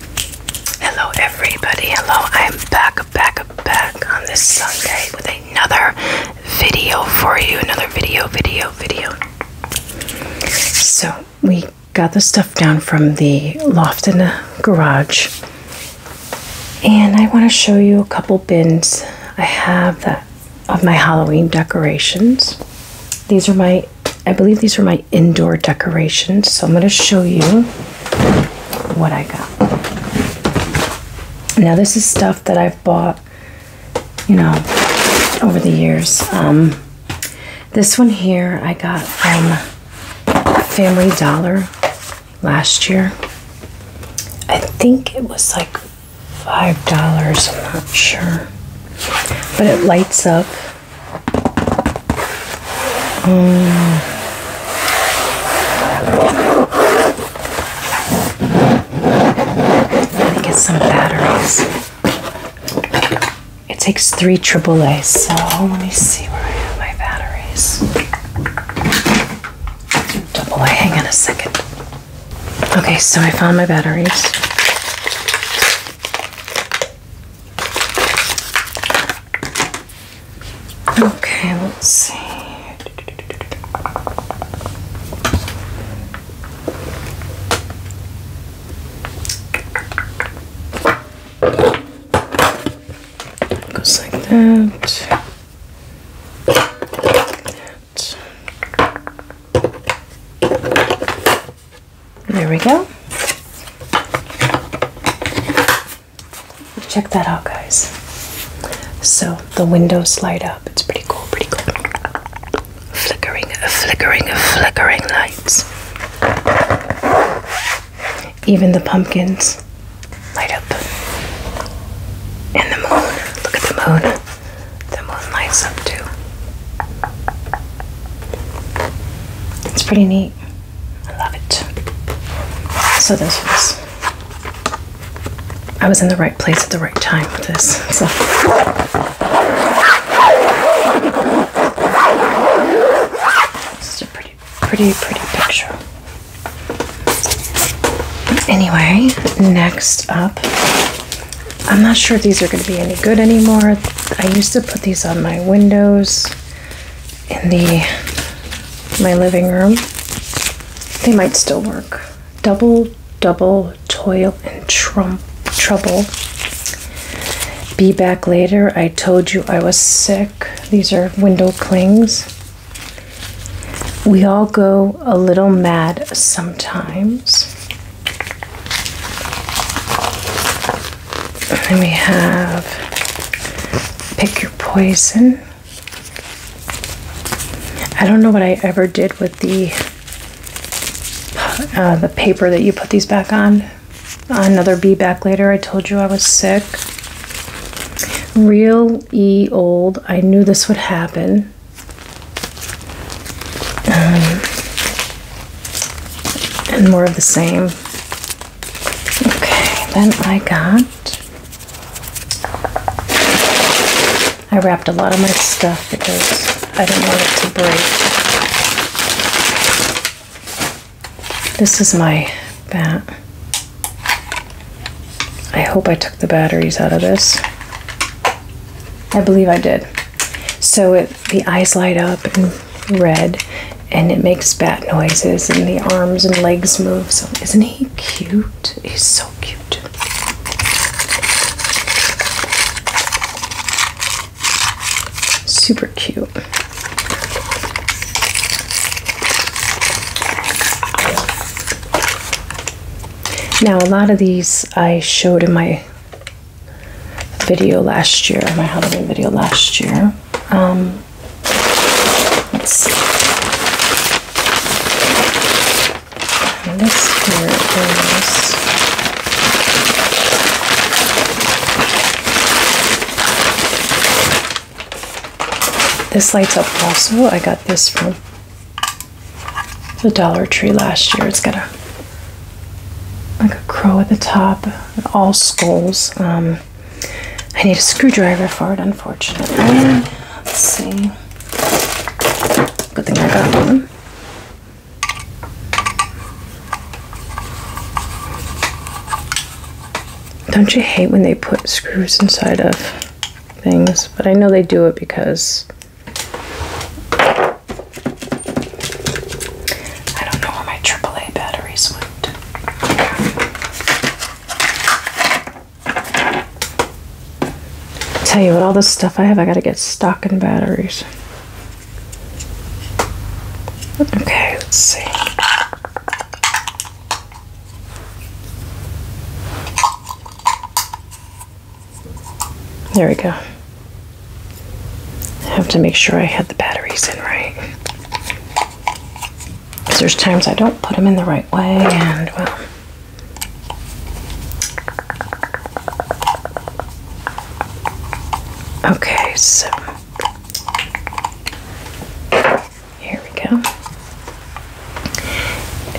Hello, everybody. Hello, I'm back, back, back on this Sunday with another video for you. Another video, video, video. So, we got the stuff down from the loft in the garage, and I want to show you a couple bins I have that of my Halloween decorations. These are my I believe these are my indoor decorations. So I'm going to show you what I got. Now, this is stuff that I've bought, you know, over the years. Um, this one here I got from Family Dollar last year. I think it was like $5. I'm not sure. But it lights up let me get some batteries. It takes three AAA, so let me see where I have my batteries. Double hang on a second. Okay, so I found my batteries. Okay, let's see. Goes like that. There we go. Check that out, guys. So the windows light up. It's pretty cool, pretty cool. Flickering, flickering, flickering lights. Even the pumpkins light up. And the moon. Look at the moon. The moon lights up too. It's pretty neat. I love it. So this was. I was in the right place at the right time for this. This is a pretty, pretty, pretty picture. Anyway, next up, I'm not sure if these are going to be any good anymore. I used to put these on my windows in the my living room. They might still work. Double, double, toil and trump trouble. Be back later. I told you I was sick. These are window clings. We all go a little mad sometimes. Then we have Pick Your Poison. I don't know what I ever did with the uh, the paper that you put these back on. Another be back later. I told you I was sick. Real E old. I knew this would happen. Um, and more of the same. Okay, then I got. I wrapped a lot of my stuff because I didn't want it to break. This is my bat. I hope I took the batteries out of this. I believe I did. So it, the eyes light up and red and it makes bat noises and the arms and legs move. So isn't he cute? He's so cute. Super cute. Now, a lot of these I showed in my video last year, my Halloween video last year. Um, let's see. this here is this lights up also. I got this from the Dollar Tree last year. It's got a like a crow at the top, all skulls. Um, I need a screwdriver for it, unfortunately. Let's see. Good thing I got one. Don't you hate when they put screws inside of things? But I know they do it because I don't know where my AAA batteries would Tell you what, all this stuff I have, I gotta get stocking batteries. Okay, let's see. There we go. have to make sure I had the batteries in right there's times I don't put them in the right way, and well. Okay, so here we go.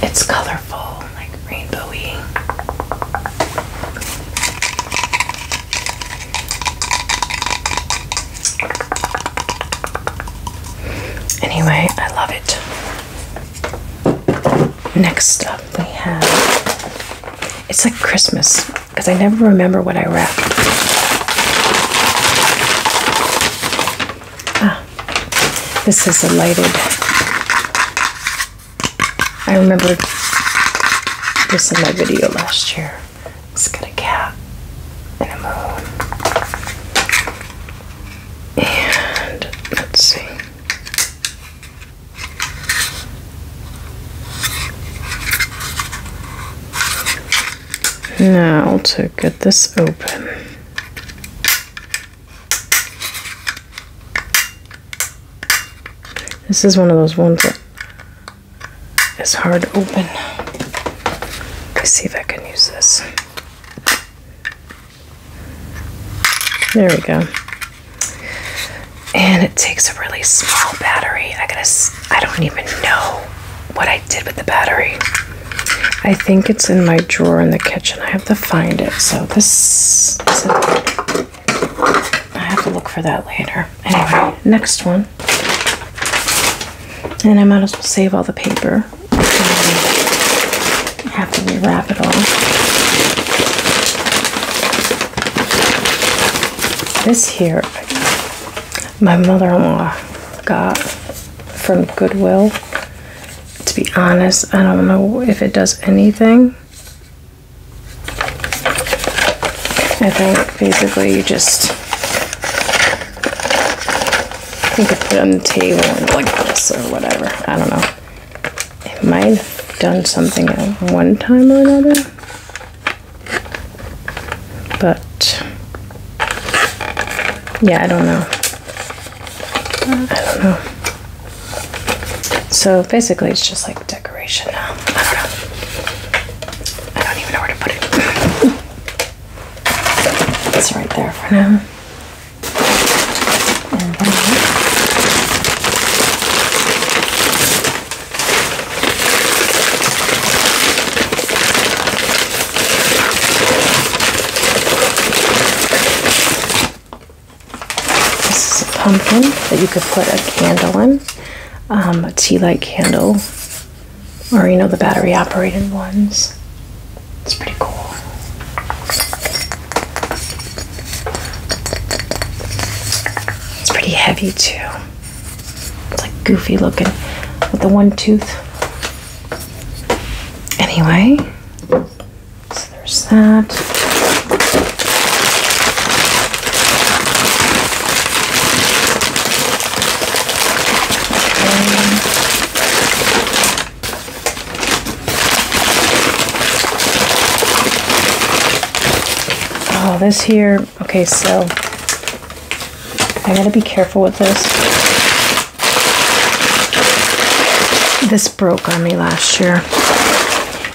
It's colorful, like rainbowy. Anyway, I love it. Next up, we have it's like Christmas because I never remember what I wrapped. Ah, this is a lighted. I remember this in my video last year. Let's get a cat and a moon. And let's see. Now to get this open. This is one of those ones that it's hard to open. Let's see if I can use this. There we go. And it takes a really small battery. I gotta, I don't even know what I did with the battery. I think it's in my drawer in the kitchen. I have to find it. So this, I have to look for that later anyway, next one. And I might as well save all the paper. I have to wrap it all. This here, my mother-in-law got from Goodwill. To be honest, I don't know if it does anything. I think basically you just I think I put on the table like this or whatever. I don't know. It might have done something one time or another. But yeah, I don't know. I don't know. So basically it's just like decoration now. I don't know. I don't even know where to put it. It's right there for now. this is a pumpkin that you could put a candle in, um, a tea light candle or you know the battery operated ones. It's pretty cool. It's pretty heavy too. It's like goofy looking with the one tooth. Anyway, so there's that. Oh, this here. Okay, so I gotta be careful with this. This broke on me last year.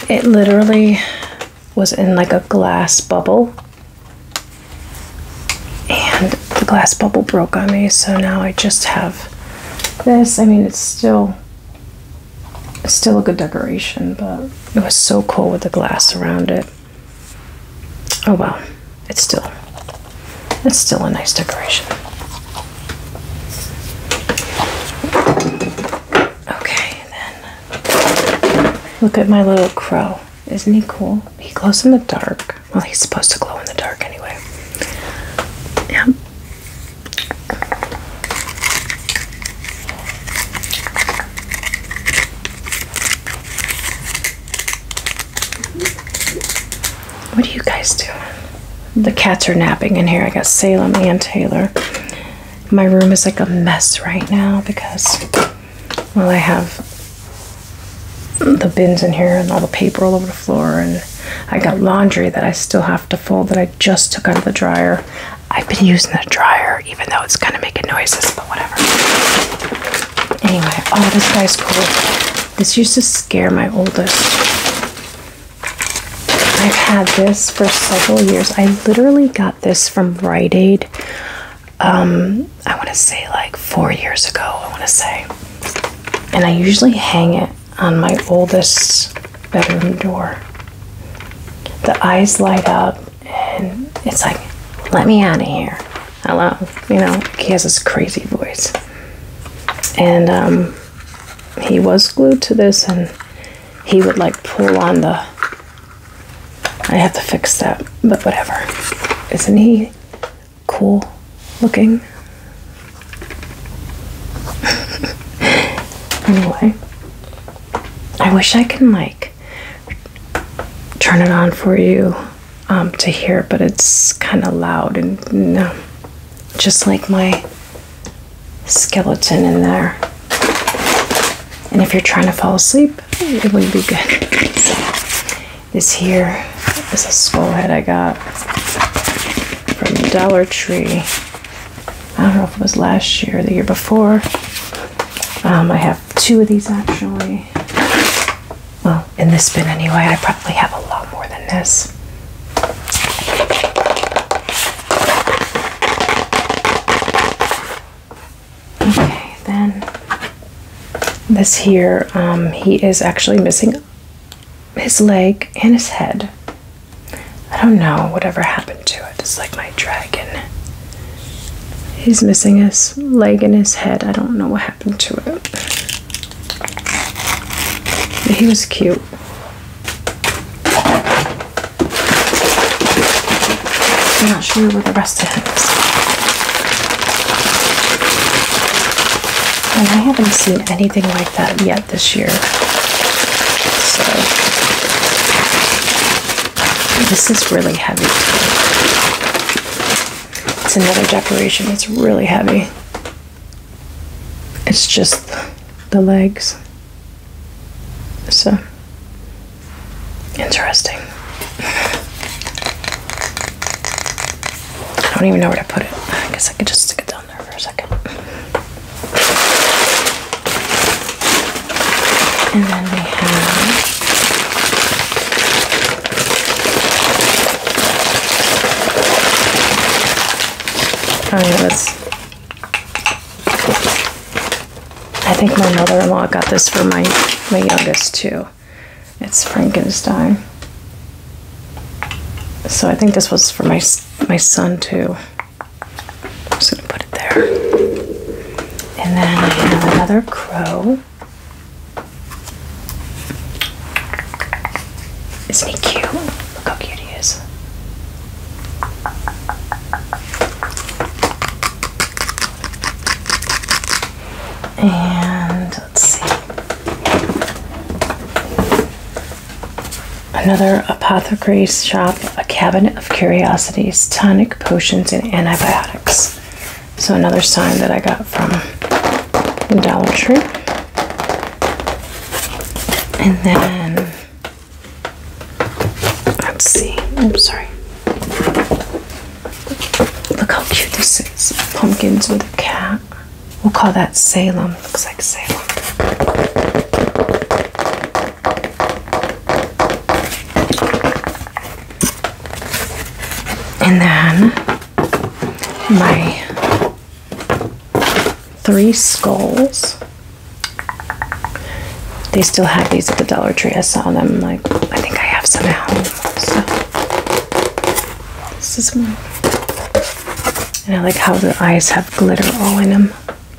It literally was in like a glass bubble. And the glass bubble broke on me, so now I just have this. I mean, it's still still a good decoration, but it was so cool with the glass around it. Oh well, it's still it's still a nice decoration. Okay, then look at my little crow. Isn't he cool? He glows in the dark. Well, he's supposed to glow in the dark anyway. Yeah. What are you guys doing? The cats are napping in here. I got Salem and Taylor. My room is like a mess right now because well, I have the bins in here and all the paper all over the floor, and I got laundry that I still have to fold that I just took out of the dryer. I've been using the dryer, even though it's kind of making noises, but whatever. Anyway, oh, this guy's cool. This used to scare my oldest. I've had this for several years. I literally got this from Rite Aid um, I want to say like four years ago, I want to say. And I usually hang it on my oldest bedroom door. The eyes light up, and it's like, let me out of here. Hello. You know, he has this crazy voice. And um, he was glued to this, and he would like pull on the I have to fix that, but whatever. Isn't he cool looking? anyway, I wish I can like turn it on for you um, to hear, but it's kind of loud and no, mm, um, just like my skeleton in there. And if you're trying to fall asleep, it would be good. this here is a skull head I got from Dollar Tree. I don't know if it was last year or the year before. Um, I have two of these actually. Well, in this bin anyway, I probably have a lot more than this. Okay, then this here, um, he is actually missing his leg and his head. I don't know whatever happened to it. It's like my dragon. He's missing his leg and his head. I don't know what happened to it. he was cute. I'm not sure where the rest of it is. And I haven't seen anything like that yet this year. So this is really heavy. It's another decoration. It's really heavy. It's just the legs. So Interesting. I don't even know where to put it. I guess I could just stick it down there for a second. And then we have. Oh, yeah, that's. I think my mother-in-law got this for my my youngest too. It's Frankenstein. So I think this was for my my son too. I'm just gonna put it there. And then I have another crow. Isn't he cute? Look how cute he is. And let's see. Another apothecary's shop, a cabinet of curiosities, tonic potions, and antibiotics. So, another sign that I got from the Dollar Tree. And then, let's see. I'm sorry. Look how cute this is. Pumpkins with a cat. We'll call that Salem. Looks like Salem. And then my three skulls. They still have these at the Dollar Tree. I saw them like I think I have some now. So this is one. And I like how the eyes have glitter all in them.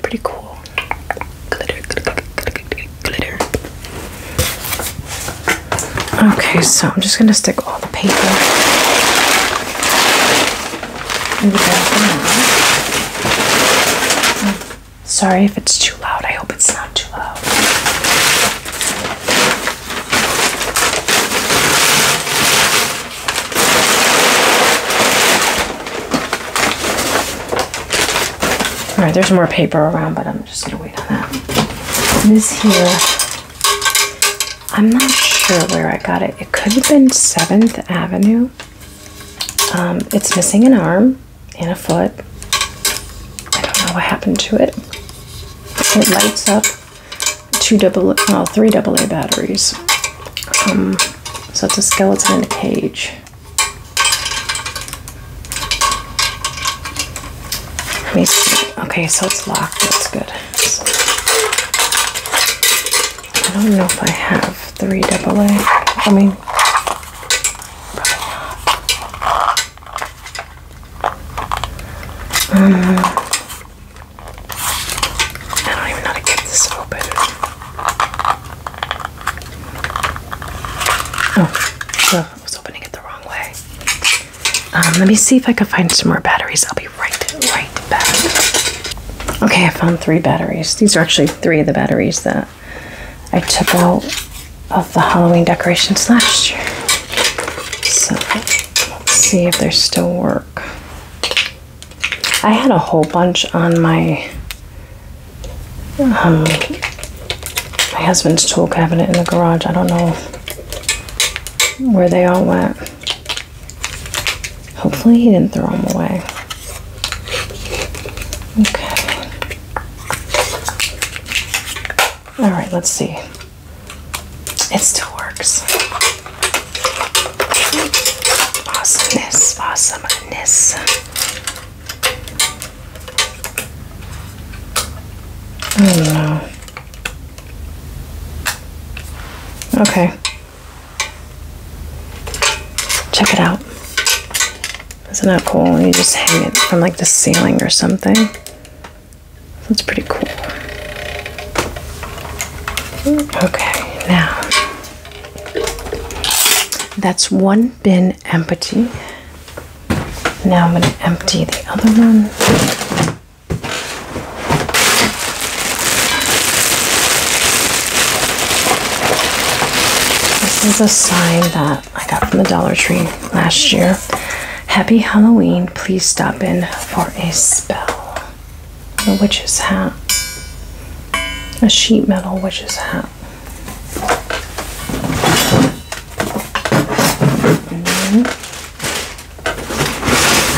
Pretty cool. Glitter, glitter, glitter, glitter. Okay, so I'm just gonna stick all the paper Sorry if it's too loud. I hope it's not too loud. Alright, there's more paper around, but I'm just gonna wait on that. this here, I'm not sure where I got it. It could have been 7th Avenue. Um, it's missing an arm in a foot. I don't know what happened to it. It lights up two double, well, three AA batteries. Um, so it's a skeleton in a cage. Let me see. Okay, so it's locked. That's good. I don't know if I have three double A. I mean, um, I don't even know how to get this open. Oh, so I was opening it the wrong way. Um, let me see if I can find some more batteries. I'll be right, right back. Okay, I found three batteries. These are actually three of the batteries that I took out of the Halloween decorations last year. So let's see if there's still work. I had a whole bunch on my um, my husband's tool cabinet in the garage. I don't know where they all went. Hopefully he didn't throw them away. Okay. All right, let's see. It still works. Awesomeness, awesomeness. Oh hmm. no. Okay. Check it out. Isn't that cool? You just hang it from like the ceiling or something. That's pretty cool. Okay, now that's one bin empty. Now I'm going to empty the other one. This is a sign that I got from the Dollar Tree last year. Happy Halloween. Please stop in for a spell. A witch's hat. A sheet metal witch's hat. And mm-hmm. then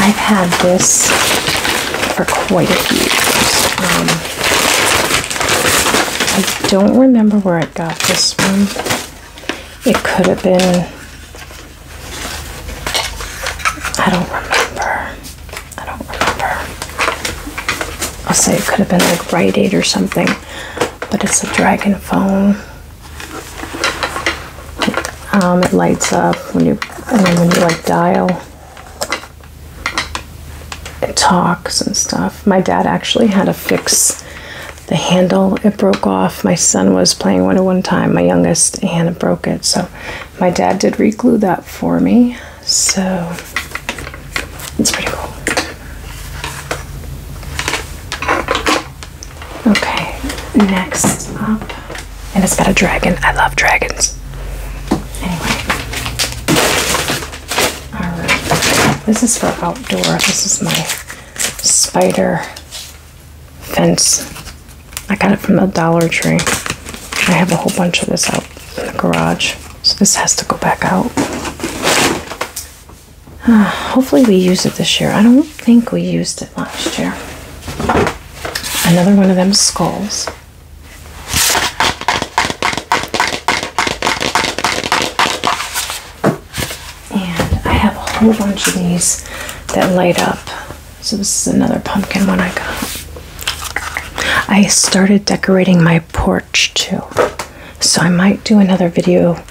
I've had this for quite a few years. Um, I don't remember where I got this one. It could have been, I don't remember. I don't remember. I'll say it could have been like Rite Aid or something, but it's a dragon phone. Um, it lights up when you, and then when you like dial, it talks and stuff. My dad actually had to fix the handle it broke off my son was playing one at one time my youngest and it broke it so my dad did reglue that for me so it's pretty cool okay next up and it's got a dragon i love dragons anyway this is for outdoor. This is my spider fence. I got it from the Dollar Tree. I have a whole bunch of this out in the garage. So this has to go back out. Ah, hopefully we use it this year. I don't think we used it last year. Another one of them skulls. And I have a whole bunch of these that light up. So this is another pumpkin one I got. I started decorating my porch too. So I might do another video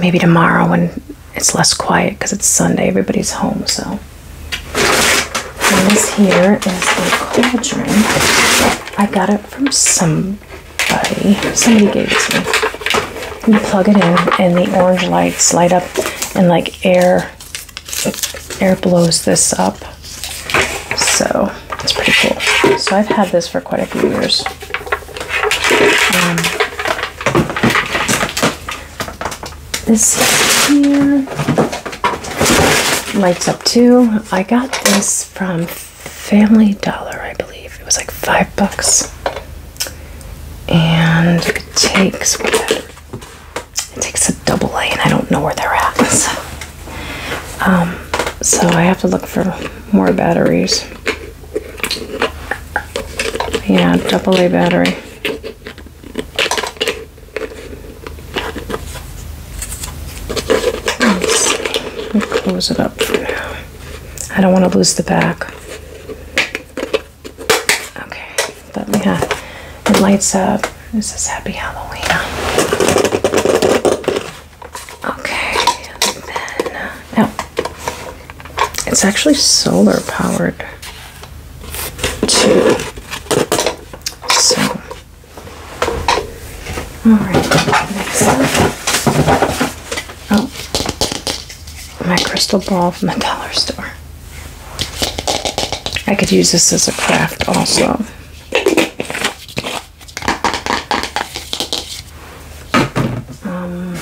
maybe tomorrow when it's less quiet because it's Sunday, everybody's home, so. this here is a cauldron. I got it from some by somebody gave this me. You plug it in, and the orange lights light up, and like air, air blows this up. So it's pretty cool. So I've had this for quite a few years. Um, this here lights up too. I got this from Family Dollar, I believe. It was like five bucks. And it takes whatever. It takes a double A, and I don't know where they're at. So, um, so I have to look for more batteries. Yeah, double A battery. close it up for now. I don't want to lose the back. Okay, let me have it lights up. This is Happy Halloween. Okay, then it's actually solar powered too. So, all right, Oh, my crystal ball from the dollar store. I could use this as a craft also. Um,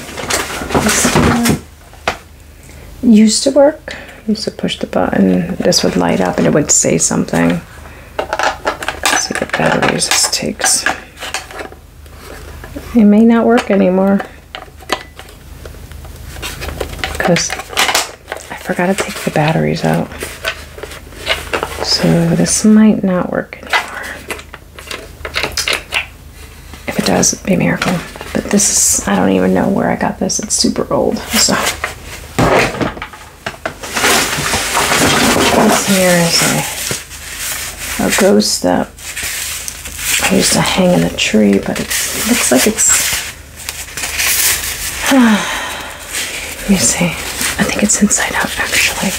used to work. used to push the button. This would light up and it would say something. Let's see batteries takes. It may not work anymore. Because I forgot to take the batteries out. So this might not work anymore. If it does, be a miracle. But this is, I don't even know where I got this. It's super old, so. here is a a ghost that used to hang in a tree, but it looks like it's. Let me see. I think it's inside out, actually.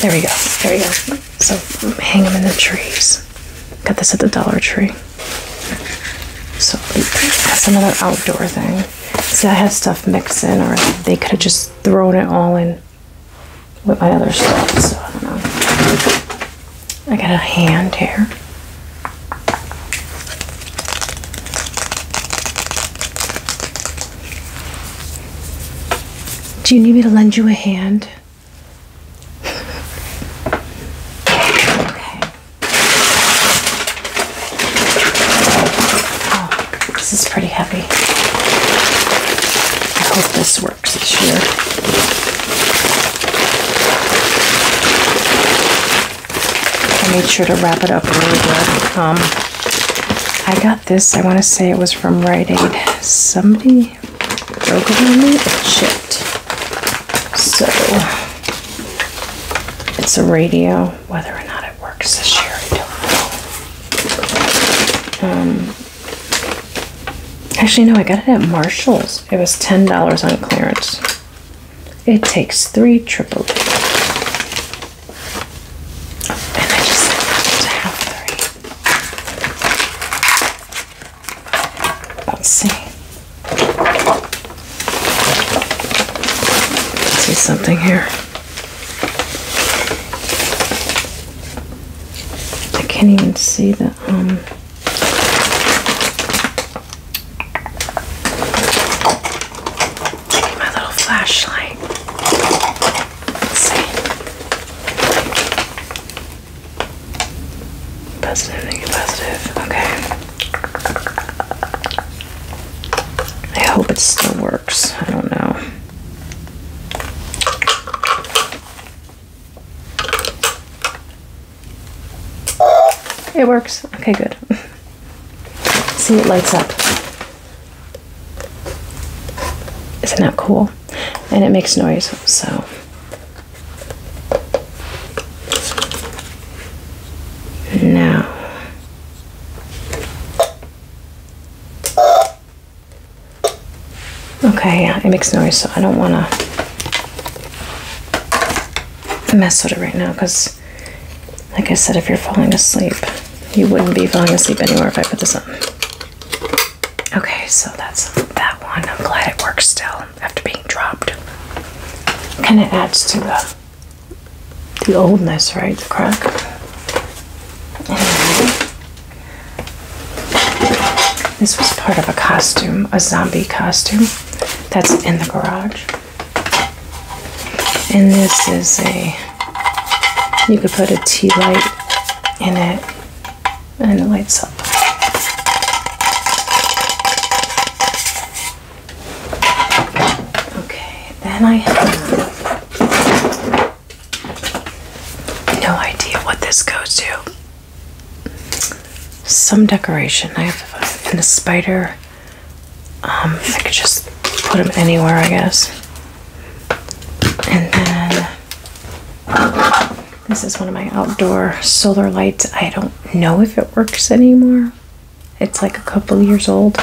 There we go. There we go. So hang them in the trees. Got this at the Dollar Tree. So some other outdoor thing. See, I had stuff mixed in, or they could have just thrown it all in with my other stuff, so I don't know. I got a hand here. Do you need me to lend you a hand? okay. Oh, this is pretty heavy. I hope this works this year. I made sure to wrap it up really good. Um, I got this, I want to say it was from Rite Aid. Somebody broke it on me So, it's a radio whether or not it works this year, I don't know. Um, actually, no, I got it at Marshall's. It was ten dollars on clearance. It takes three triple D. let Let's see. Let's see something here. I can't even see the um my little flashlight. Let's see. Positive, negative, positive. Okay. I hope it still works. I don't know. It works. Okay, good. See, it lights up. Isn't that cool? And it makes noise, so. Now. Okay, yeah, it makes noise, so I don't want to mess with it right now because, like I said, if you're falling asleep, you wouldn't be falling asleep anywhere if I put this on. Okay, so that's that one. I'm glad it works still after being dropped. Kind of adds to the the oldness, right? The crack this was part of a costume, a zombie costume that's in the garage. And this is a, you could put a tea light in it and it lights up. Okay, then I no idea what this goes to. Some decoration. I have a spider. Um, I could just put them anywhere, I guess. And then this is one of my outdoor solar lights. I don't know if it works anymore. It's like a couple years old,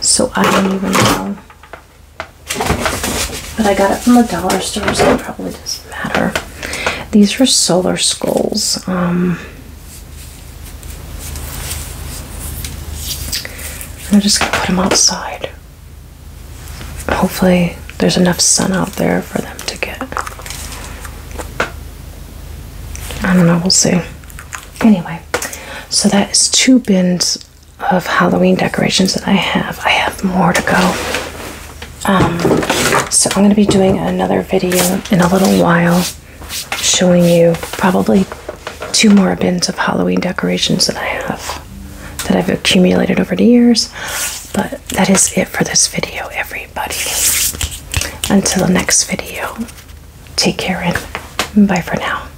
so I don't even know but I got it from the dollar store, so it probably doesn't matter. These are solar skulls. Um. I'm just gonna put them outside. Hopefully, there's enough sun out there for them to get. I don't know, we'll see. Anyway, so that is two bins of Halloween decorations that I have. I have more to go. Um, so I'm going to be doing another video in a little while showing you probably two more bins of Halloween decorations that I have that I've accumulated over the years. But that is it for this video, everybody. Until the next video, take care and bye for now.